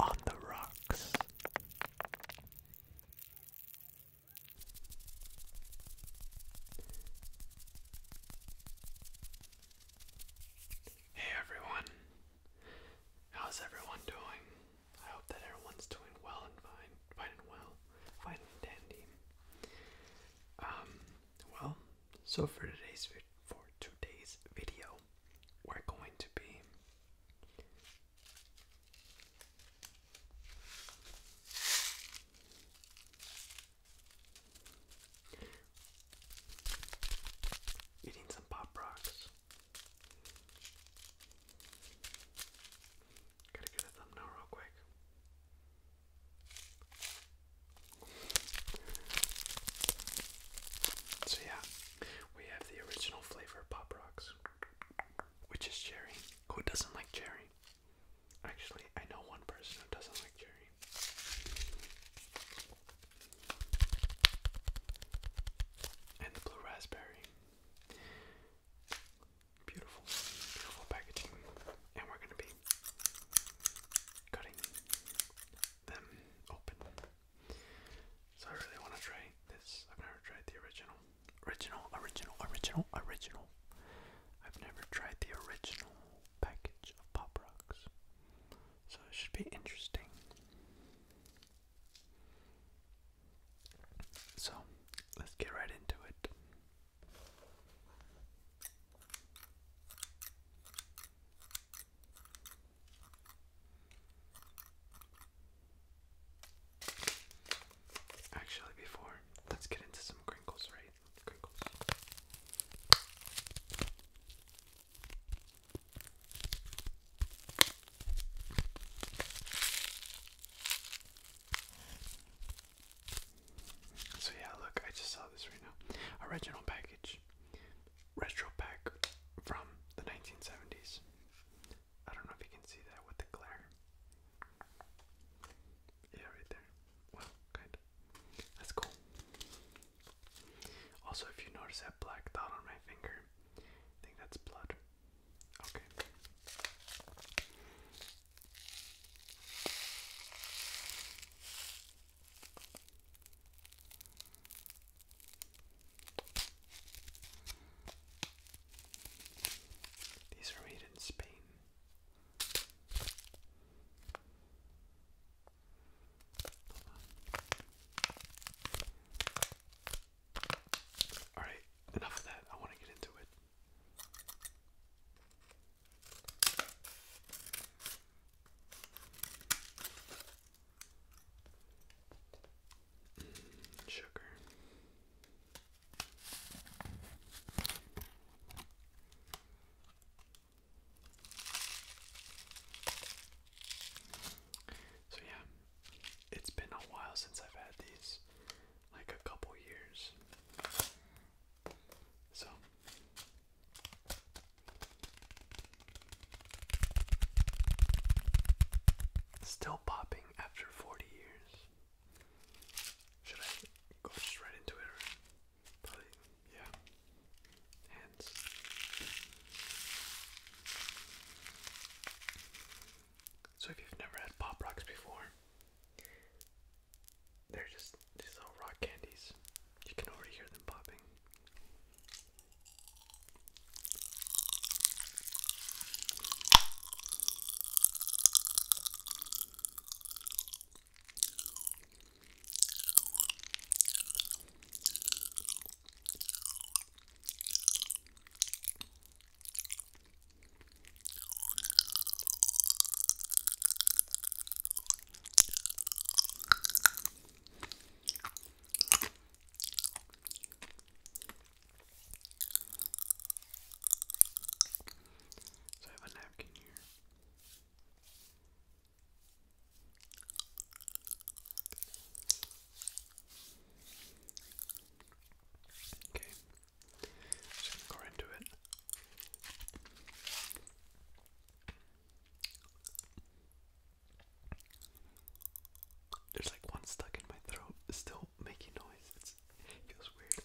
On the rocks. Hey everyone. How's everyone doing? I hope that everyone's doing well and fine, fine and well, fine and dandy. Um, well, so for today's video, for today's video, we're going to be eating some pop rocks. Gotta get a thumbnail real quick. So yeah, we have the original flavor Pop Rocks, which is cherry. Who doesn't like cherry? Actually, I know one person who doesn't like cherry. And the blue raspberry. Beautiful, beautiful packaging. And we're going to be cutting them open. So I really want to try this. I've never tried the original. Original, original, original, original. I've never tried the original package of Pop Rocks. So it should be interesting. So let's get right into it. Actually, before, let's get into some crinkles, right? Crinkles. So yeah, look, I just saw this right now. Original package retro pack from the 1970s. I don't know if you can see that with the glare. Yeah, right there. Well, kind That's cool. Also, if you notice that black dot on my finger, I think that's blood. Okay. These are made in Spain. All right, enough of that. I want to get into it. Mm, sugar. So yeah, it's been a while since I've had these, like a couple years. So still popping after 40 years. Should I go just into it probably yeah. Hands. So if you've never had pop rocks before, they're just these little rock candies. You can already hear them popping. So I have a napkin here. Okay, just gonna go into it. There's like one stuck in my throat, still making noise. It's, it feels weird.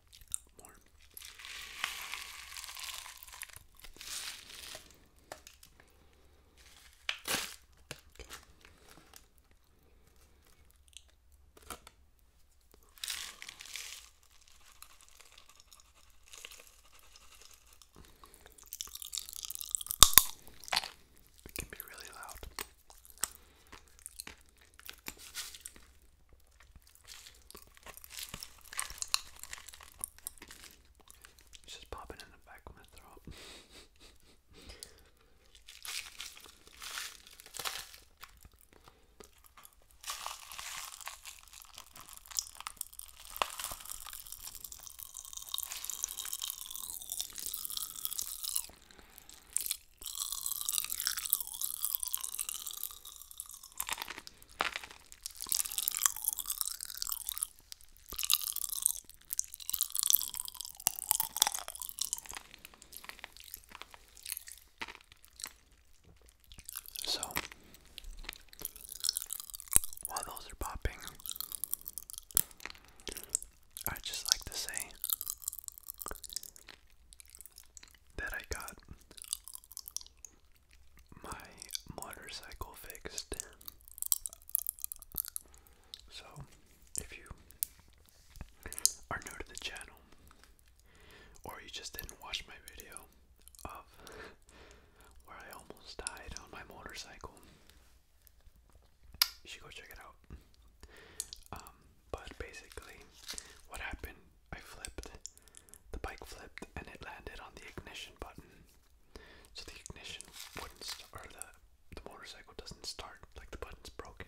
more. Okay. It can be really loud. It's just popping in the back of my throat. So, while those are popping, i just like to say that I got my motorcycle fixed. So, if you are new to the channel, or you just didn't watch my video of where I almost died on my motorcycle, you should go check it out. Um, but basically, what happened I flipped. The bike flipped and it landed on the ignition button. So the ignition wouldn't st or the the motorcycle doesn't start, like the button's broken.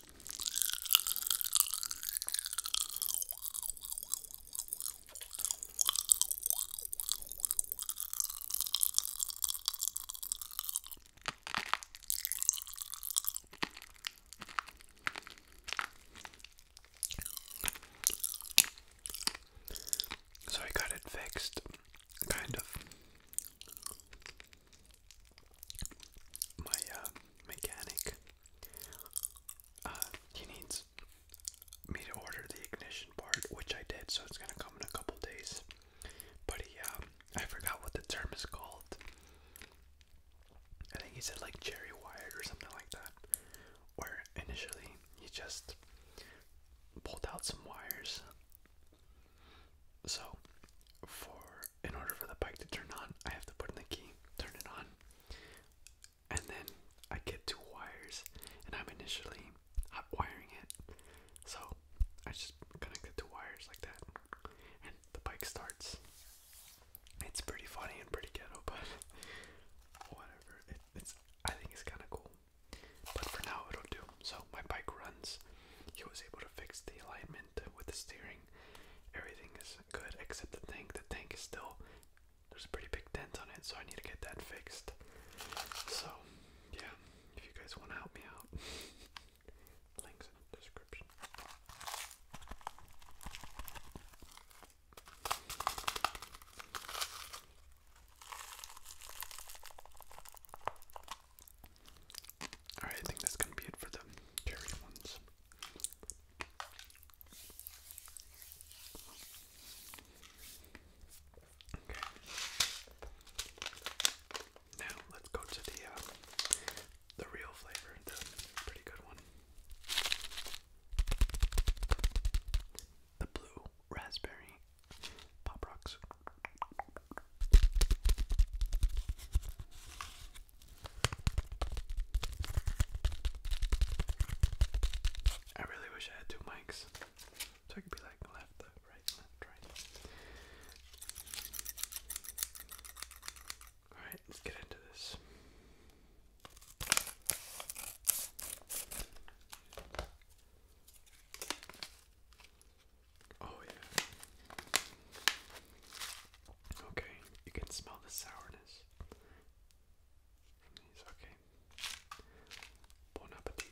So I got it fixed, kind of my uh, mechanic, uh, he needs me to order the ignition part, which I did, so it's gonna come in a couple days. But he, um, I forgot what the term is called. I think he said like jerry wired or something like that. Where initially he just pulled out some wires. So, for in order for the bike to turn on, I have to put in the key, turn it on, and then I get two wires, and I'm initially wiring it. So I just connect the two wires like that, and the bike starts. It's pretty funny and pretty ghetto, but whatever. it's I think it's kind of cool. But for now, it'll do. So my bike runs. He was able to fix the alignment with the steering. Everything is good except the tank. The tank is still there's a pretty big dent on it, so I need to get that fixed. So yeah, if you guys want to help me out, links in the description. Alright, I think that's gonna be it for the cherry ones. Okay. Now let's go to the uh, the real flavor, the pretty good one. The blue raspberry pop rocks. I really wish I had two mics. So I could be like left, right, left, right. Alright, let's get into this. Oh, yeah. Okay, you can smell the sourness Okay. Bon appetit.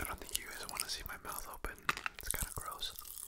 I don't think you guys want to see my mouth open. It's kind of gross.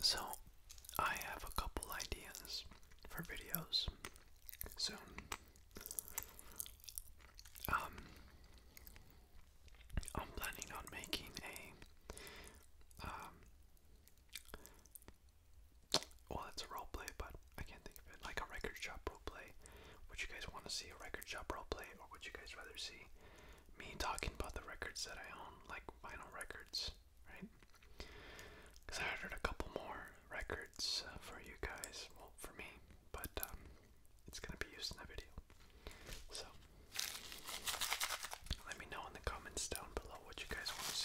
So, I have a couple ideas for videos soon. Um, I'm planning on making a um, well, it's a role but I can't think of it. Like a record shop role Would you guys want to see a record shop role play, or would you guys rather see me talking about the records that I own, like vinyl records, right? Because I ordered a couple more records uh, for you guys, well, for me, but um, it's gonna be used in the video. So let me know in the comments down below about what you guys want to see.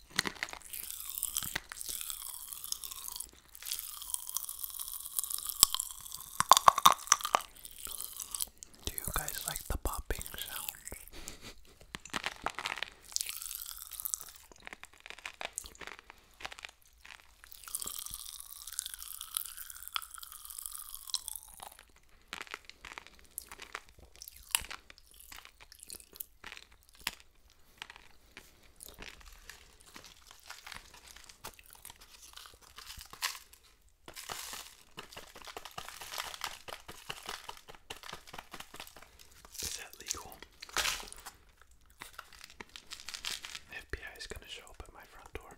Do you guys like the popping sound? Is that legal? The FBI is going to show up at my front door.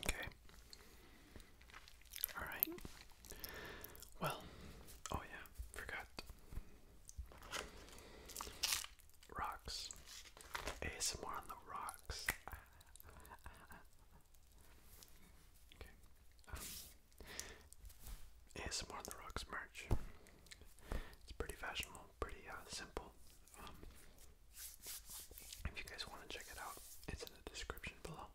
Okay. All right. Well, oh yeah, forgot. Rocks. ASMR on the rocks. okay. Um, ASMR on the Rocks merch. It's pretty fashionable, pretty uh, simple. Um, if you guys want to check it out, it's in the description below.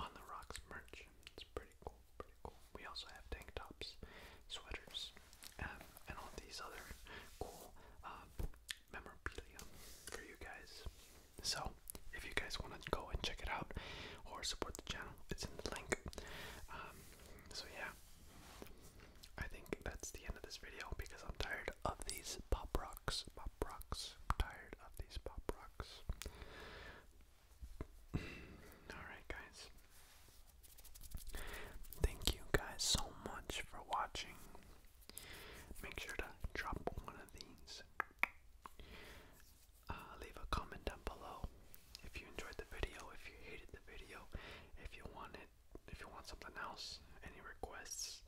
On the Rocks merch. It's pretty cool, pretty cool. We also have tank tops, sweaters, um, and all these other cool uh, memorabilia for you guys. So, if you guys want to go and check it out or support the channel, it's in the link. Um, so, yeah, I think that's the end of this video because I'm tired of these pop rocks. Pop rocks. tired of these pop rocks. Alright, guys. Thank you guys so much for watching. Make sure to drop one of these. Uh, leave a comment down below if you enjoyed the video, if you hated the video, if you wanted, if you want something else, any requests,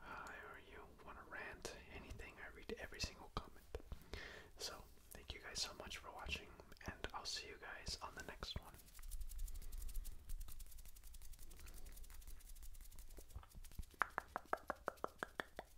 uh, or you want to rant, anything. I read every single comment. So thank you guys so much for watching, and I'll see you guys on the next one.